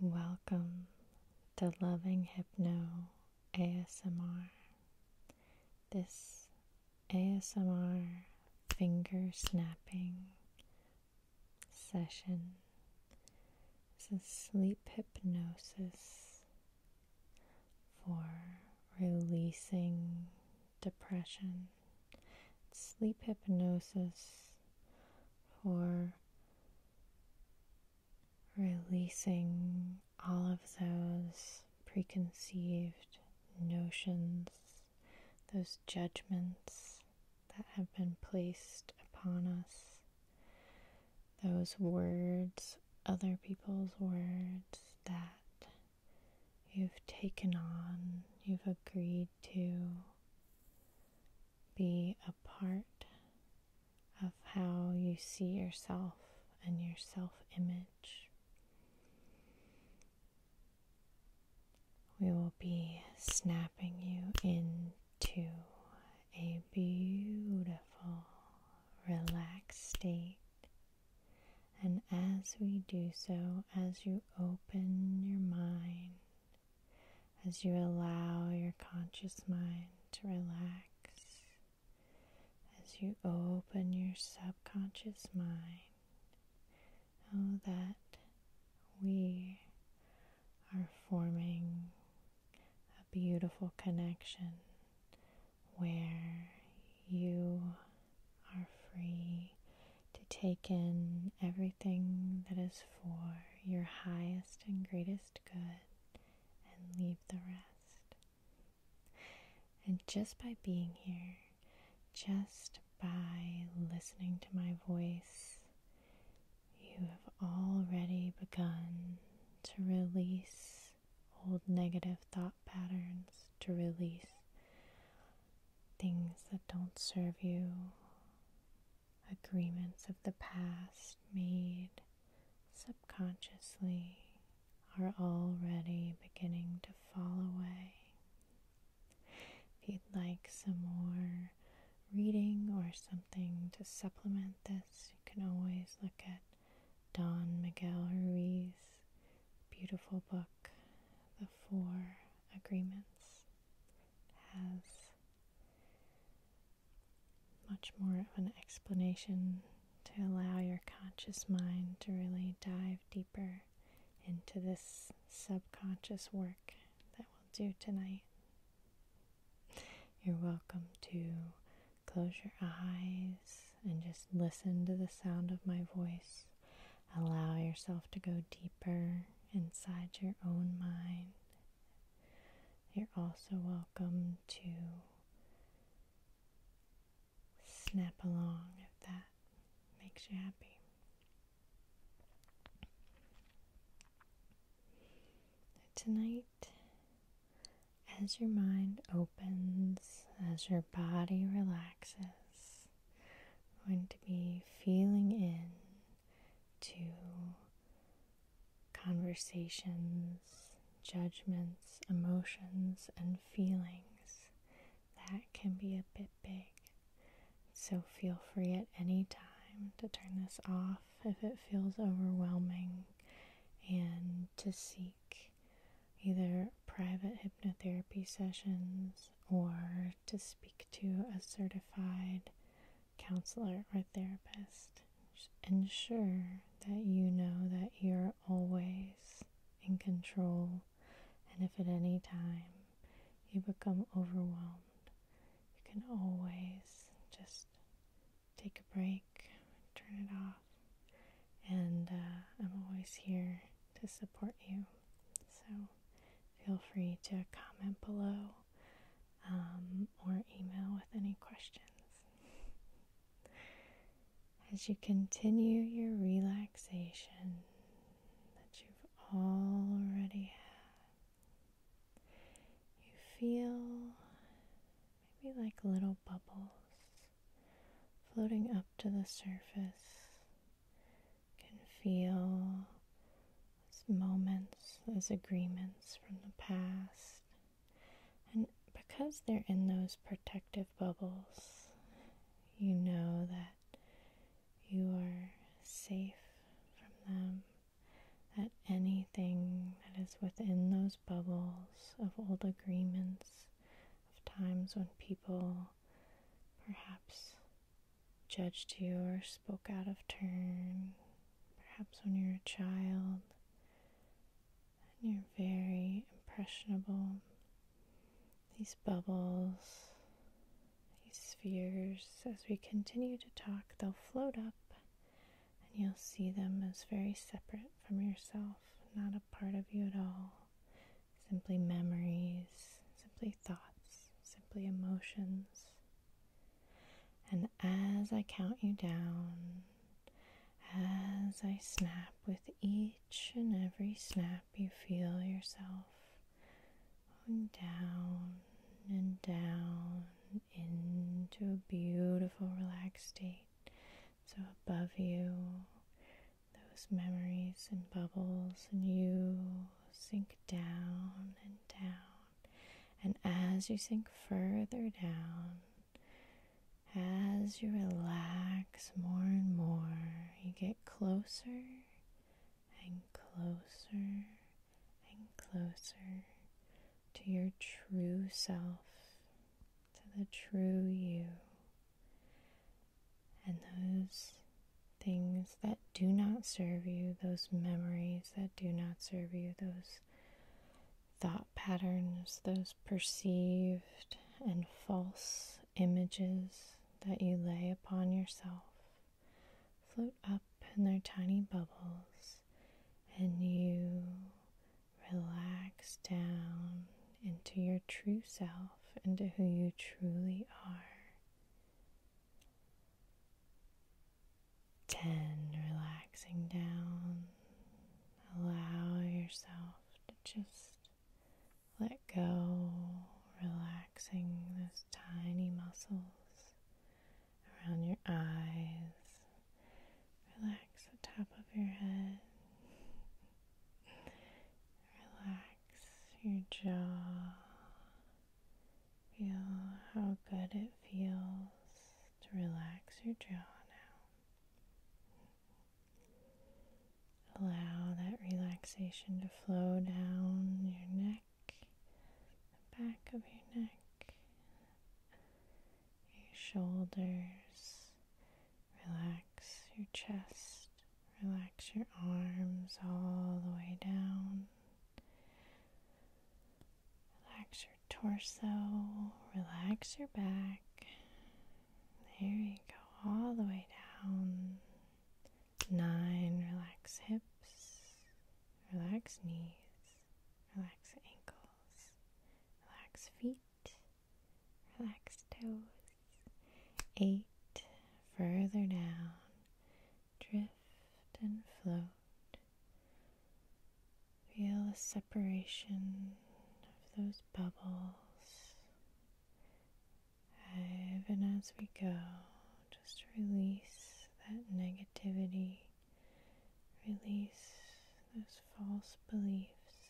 Welcome to Loving Hypno ASMR. This ASMR finger snapping session is a sleep hypnosis for releasing depression. Sleep hypnosis for releasing all of those preconceived notions, those judgments that have been placed upon us, those words, other people's words that you've taken on, you've agreed to, be a part of how you see yourself and your self image. We will be snapping you into a beautiful, relaxed state. And as we do so, as you open your mind as you allow your conscious mind to relax, as you open your subconscious mind. Oh, that we are forming a beautiful connection where you are free to take in everything that is for your highest and greatest good and leave the rest. And just by being here, just by listening to my voice, you have already begun to release old negative thought patterns, to release things that don't serve you, agreements of the past made subconsciously are already beginning to fall away. If you'd like some more reading or something to supplement this, you can always look at Don Miguel Ruiz's beautiful book, The Four Agreements has much more of an explanation to allow your conscious mind to really dive deeper into this subconscious work that we'll do tonight. You're welcome to close your eyes and just listen to the sound of my voice. Allow yourself to go deeper inside your own mind. You're also welcome to snap along if that makes you happy. Tonight, as your mind opens, as your body relaxes, we're going to be feeling in to conversations, judgments, emotions, and feelings. That can be a bit big. So feel free at any time to turn this off if it feels overwhelming and to seek either private hypnotherapy sessions or to speak to a certified counselor or therapist. ensure that you know that you're always in control, and if at any time you become overwhelmed, you can always just take a break, turn it off, and uh, I'm always here to support you. So feel free to comment below um, or email with any questions. As you continue your relaxation that you've already had, you feel maybe like little bubbles floating up to the surface can feel those moments, those agreements from the past. And because they're in those protective bubbles, you know that you are safe from them, that anything that is within those bubbles of old agreements, of times when people perhaps judged you or spoke out of turn, perhaps when you're a child and you're very impressionable. These bubbles, these spheres, as we continue to talk, they'll float up and you'll see them as very separate from yourself, not a part of you at all simply memories, simply thoughts, simply emotions. And as I count you down, as I snap with each and every snap, you feel yourself going down and down into a beautiful relaxed state. So above you, those memories and bubbles, and you sink down and down. And as you sink further down, as you relax more and more, you get closer and closer and closer to your true self, to the true you. And those things that do not serve you, those memories that do not serve you, those thought patterns, those perceived and false images that you lay upon yourself, float up in their tiny bubbles, and you relax down into your true self, into who you truly are. Ten, relaxing down. Allow yourself to just let go, relaxing those tiny muscles around your eyes. Relax the top of your head. Relax your jaw. Feel how good it feels to relax your jaw now. Allow that relaxation to flow down your neck, the back of your neck, your shoulders, Relax your chest, relax your arms all the way down. Relax your torso, relax your back. There you go, all the way down. Nine, relax hips, relax knees, relax ankles, relax feet. Relax toes. Eight, further down. Drift and float. Feel the separation of those bubbles. Even as we go, just release that negativity. Release those false beliefs.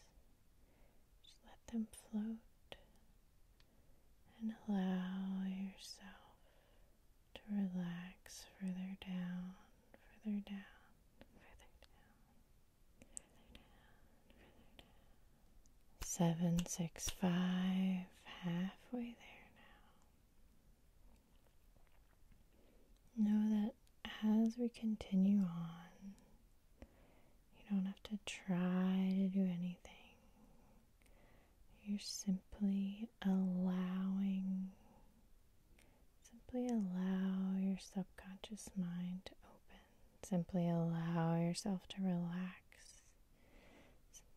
Just let them float and allow yourself to relax further down, further down, further down, further down, further down. Seven, six, five, halfway there now. Know that as we continue on, you don't have to try to do anything. You're simply allowing, simply allow your subconscious mind to open. Simply allow yourself to relax.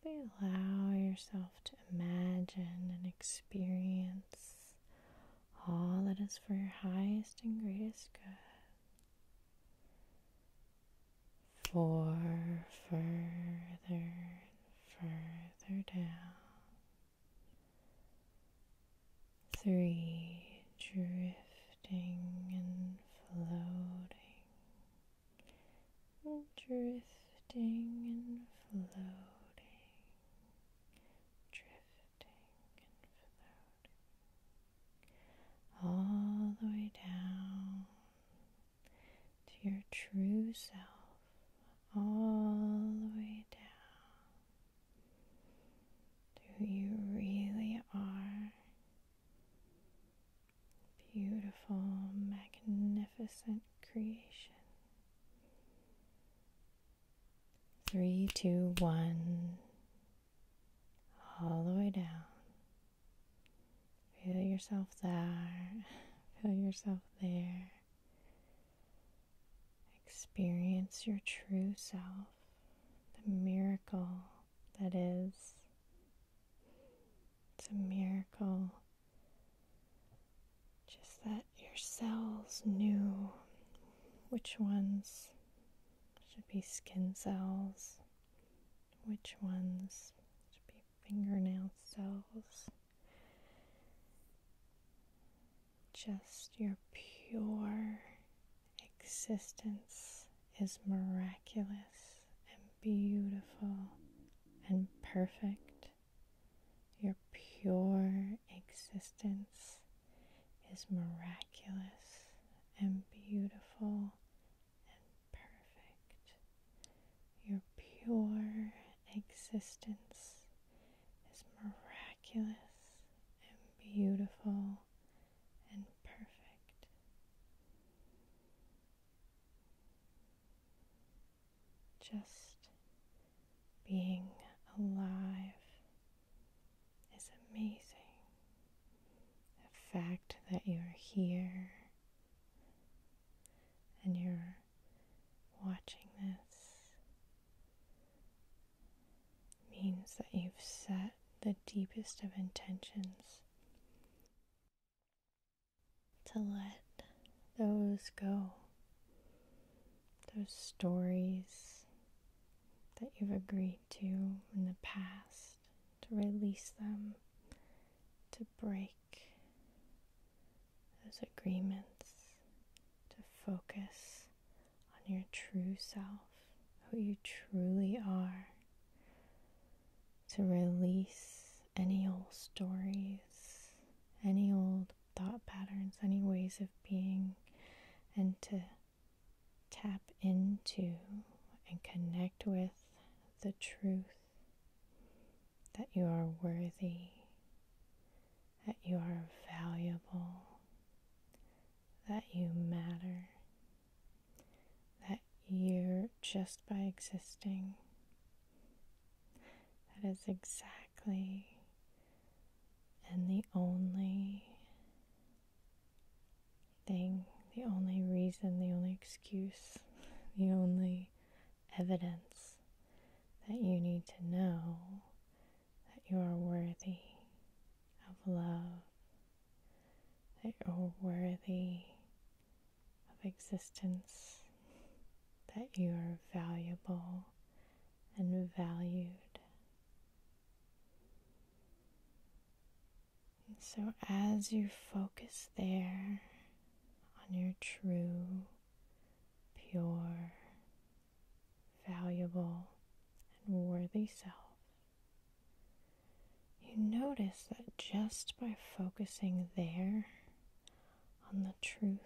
Simply allow yourself to imagine and experience all that is for your highest and greatest good. Four further further down. Three drifting and floating, drifting and floating, drifting all the way down to your true self, all the way down to who you really are. Beautiful, magnificent creation. Three, two, one. All the way down. Feel yourself there. Feel yourself there. Experience your true self, the miracle that is. It's a miracle. Just that your cells knew which ones should be skin cells, which ones should be fingernail cells. Just your pure existence is miraculous and beautiful and perfect. Your pure existence is miraculous and beautiful and perfect. Your pure existence is miraculous and beautiful and perfect. Just being alive is amazing. The fact that you're here and you're watching this means that you've set the deepest of intentions to let those go those stories that you've agreed to in the past, to release them, to break those agreements, to focus on your true self, who you truly are, to release any old stories, any old thought patterns, any ways of being, and to tap into and connect with the truth that you are worthy, that you are valuable, that you matter, that you're just by existing that is exactly and the only thing, the only reason, the only excuse, the only evidence that you need to know that you are worthy of love, that you're worthy of existence, that you are valuable and valued. so, as you focus there on your true, pure, valuable, and worthy self you notice that just by focusing there on the truth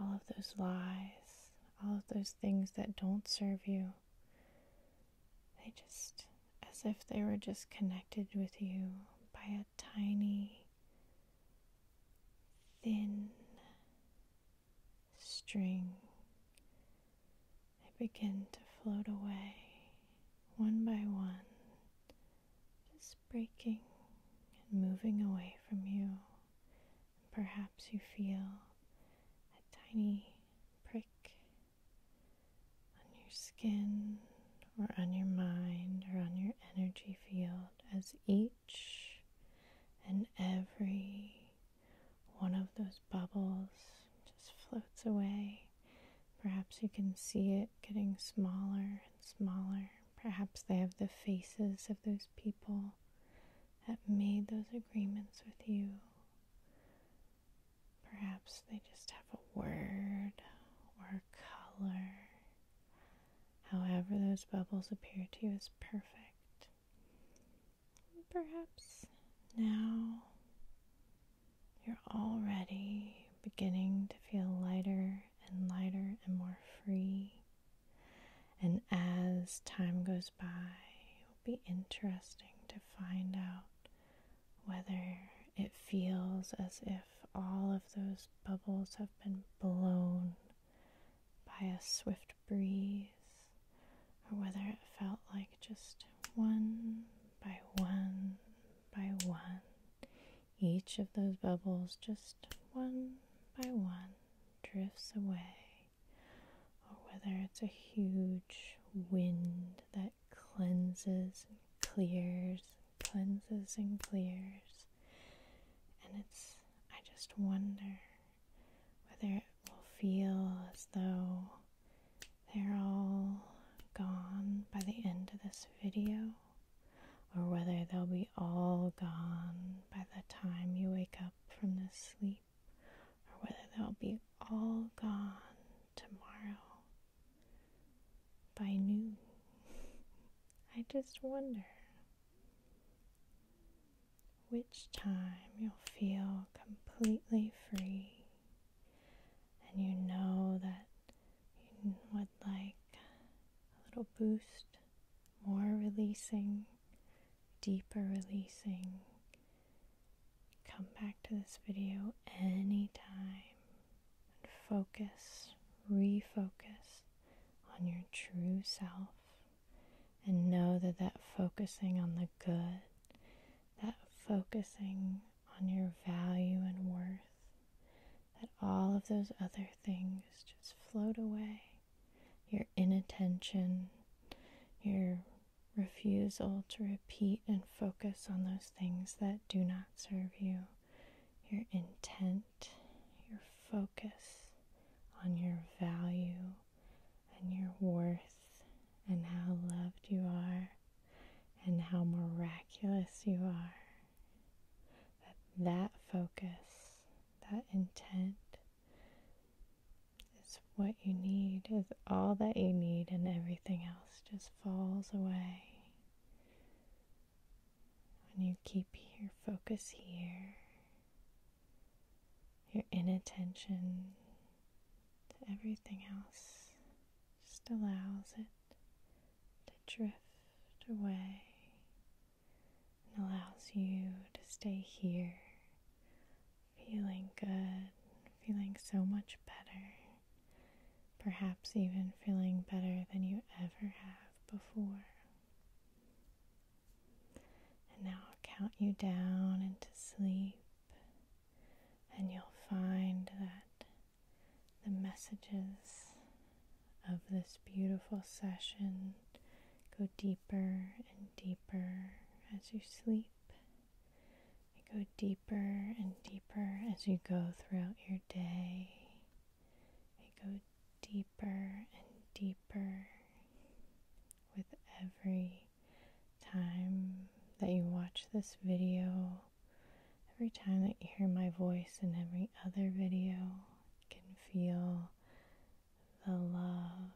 all of those lies, all of those things that don't serve you. They just, as if they were just connected with you by a tiny, thin string. They begin to float away one by one just breaking and moving away from you. Perhaps you feel a tiny prick on your skin or on your mind or on your energy field as each and every one of those bubbles just floats away. Perhaps you can see it getting smaller smaller. Perhaps they have the faces of those people that made those agreements with you. Perhaps they just have a word or a color. However, those bubbles appear to you is perfect. Perhaps now you're all ready beginning to feel lighter and lighter and more free. And as time goes by, it'll be interesting to find out whether it feels as if all of those bubbles have been blown by a swift breeze, or whether it felt like just one by one by one, each of those bubbles, just one by one, drifts away, or whether it's a huge wind that cleanses and clears, cleanses and clears. And it's, I just wonder whether it will feel as though they're all gone by the end of this video or whether they'll be all gone by the time you wake up from this sleep, or whether they'll be all gone tomorrow by noon. I just wonder which time you'll feel completely free and you know that you would like a little boost, more releasing, deeper releasing, come back to this video anytime and focus, refocus on your true self. And know that that focusing on the good, that focusing on your value and worth that all of those other things just float away. Your inattention, your refusal to repeat and focus on those things that do not serve you, your intent, your focus on your value and your worth and how loved you are and how miraculous you are. That that focus, that intent is what you need, is all that you need and everything else just falls away. When you keep your focus here, your inattention to everything else just allows it to drift away and allows you to stay here, feeling good, feeling so much better, perhaps even feeling better than you ever have before. And now I'll count you down into sleep, and you'll find that the messages of this beautiful session go deeper and deeper as you sleep. They go deeper and deeper as you go throughout your day. They go deeper and deeper with every time that you watch this video Every time that you hear my voice in every other video, you can feel the love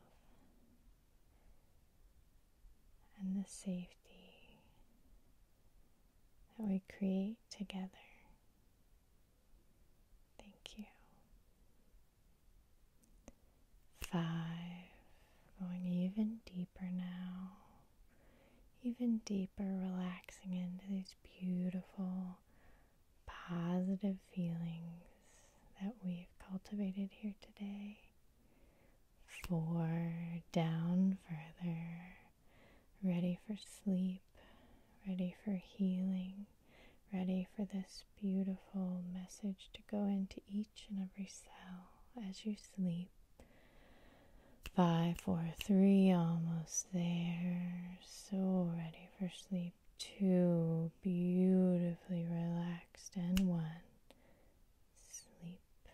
and the safety that we create together. Thank you. Five, going even deeper now even deeper, relaxing into these beautiful, positive feelings that we've cultivated here today. Four down further, ready for sleep, ready for healing, ready for this beautiful message to go into each and every cell as you sleep. Five, four, three, almost there. So ready for sleep. Two, beautifully relaxed. And one, sleep.